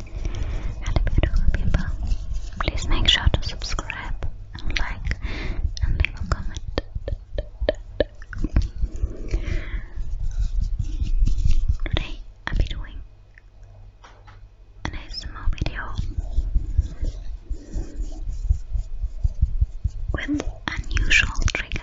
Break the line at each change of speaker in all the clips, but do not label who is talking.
Hello beautiful people. Please make sure to subscribe like and leave a comment. Today I'll be doing an ASMR video with unusual trigger.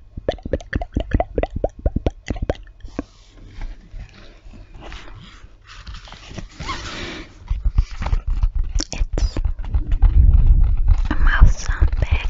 It's a mouth sound bag.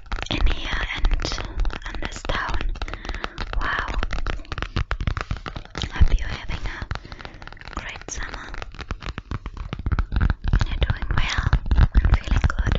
in here and in this town. Wow. Hope you're having a great summer. You're doing well and feeling good.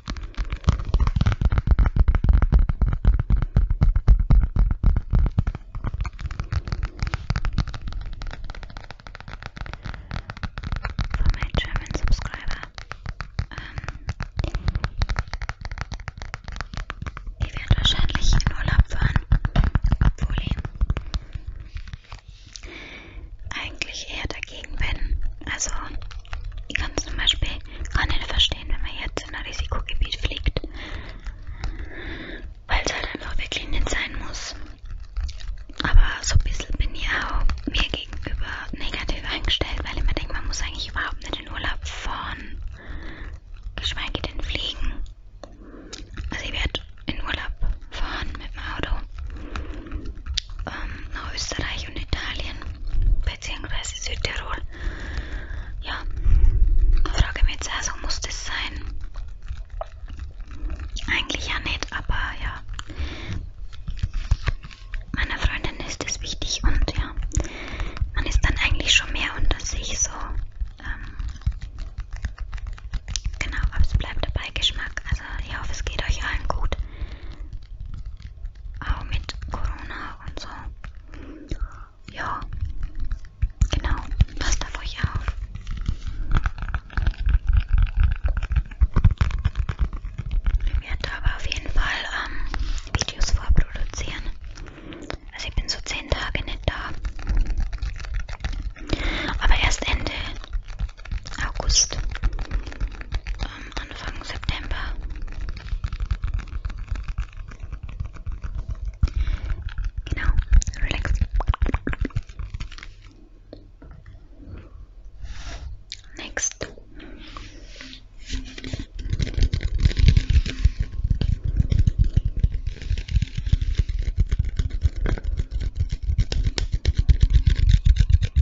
For my German subscriber, ähm, die werden wahrscheinlich in Urlaub fahren, obwohl eigentlich eher dagegen bin. Also ich kann zum Beispiel gar nicht verstehen, wenn man jetzt in ein Risikogebiet fliegt, weil es halt einfach wirklich nicht sein muss. Aber so ein bisschen bin ich auch mir gegenüber negativ eingestellt, weil ich mir denke, man muss eigentlich überhaupt nicht in Urlaub fahren, geschweige denn fliegen. Also ich werde in Urlaub fahren mit dem Auto ähm, nach Österreich und Italien beziehungsweise Südtirol. Ja, frage mich jetzt also, muss das sein? Eigentlich ja nicht, aber ja. Meiner Freundin ist das wichtig und ja, man ist dann eigentlich schon mehr unter sich so. Ähm, genau, aber es bleibt dabei Geschmack. Also ich hoffe, es geht euch allen gut. Auch mit Corona und so. Ja, genau. Passt auf euch auf. Ich werde aber auf jeden Fall ähm, Videos vorproduzieren. Also ich bin so 10 Tage nicht da. Aber erst Ende August, ähm, September. Genau, relax. Next.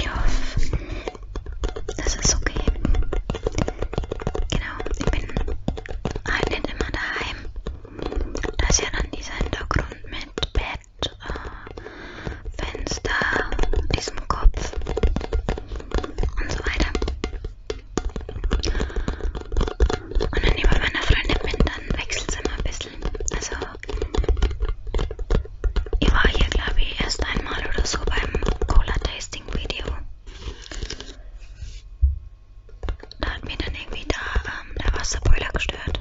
Ja, das ist okay. Genau, ich bin halt nicht immer daheim. Da ist ja dann dieser Hintergrund mit Bett, äh, Fenster, diesem Kopf und so weiter. Und dann über meiner Freundin bin, dann wechselt es immer ein bisschen. Also ich war hier, glaube ich, erst einmal oder so beim Cola Tasting Video. Da hat mir dann irgendwie da, ähm, der Wasserboiler gestört.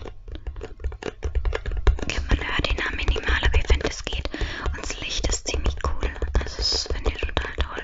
Okay, man hört ihn minimal, aber ich finde es geht. Und das Licht ist ziemlich cool. Also das finde ich total toll.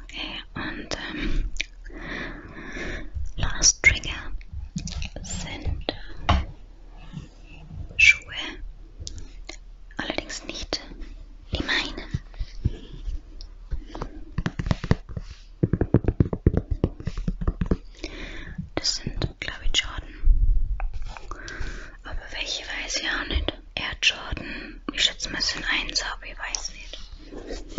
Okay, und ähm, Last Trigger sind Schuhe, allerdings nicht die meinen. Das sind, glaube ich, Jordan. Aber welche weiß ich auch nicht. Air Jordan. Ich schätze mal, es sind eins, aber ich weiß nicht.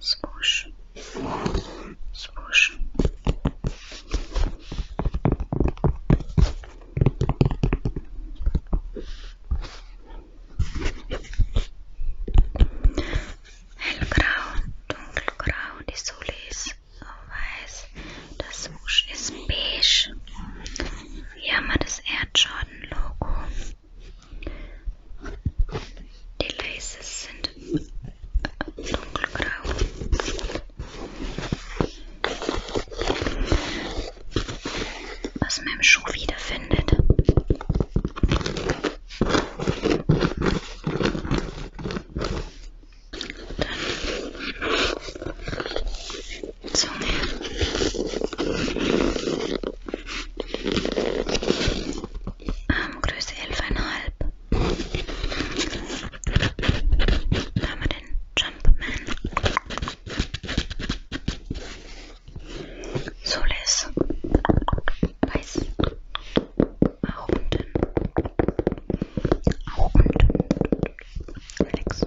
swoosh, swoosh. Hellgrau, dunkelgrau, die Sohle ist weiß, das Swoosh ist beige. Hier haben wir das Air Jordan Logo. Die Laces sind dunkelgrau. Was man im Schuh wiederfindet. Dann Zunge ähm, Größe 11,5. Da haben wir den Jumpman. Soles. Weiß. Auch unten. Auch unten. Links.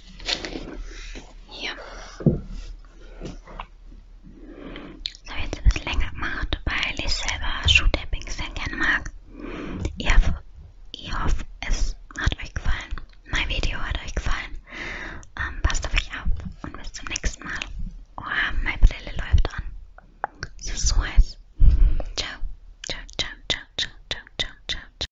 Hier. Das habe ich jetzt ein bisschen länger gemacht, weil ich selber Shoe-Tappings sehr gerne mag. Ich hoffe, ich hoffe, es hat euch gefallen. Mein Video hat euch gefallen. Ähm, passt auf euch auf und bis zum nächsten Mal. Oh, meine Brille läuft an. Es ist so heiß. Ciao. Ciao, ciao, ciao, ciao, ciao, ciao, ciao.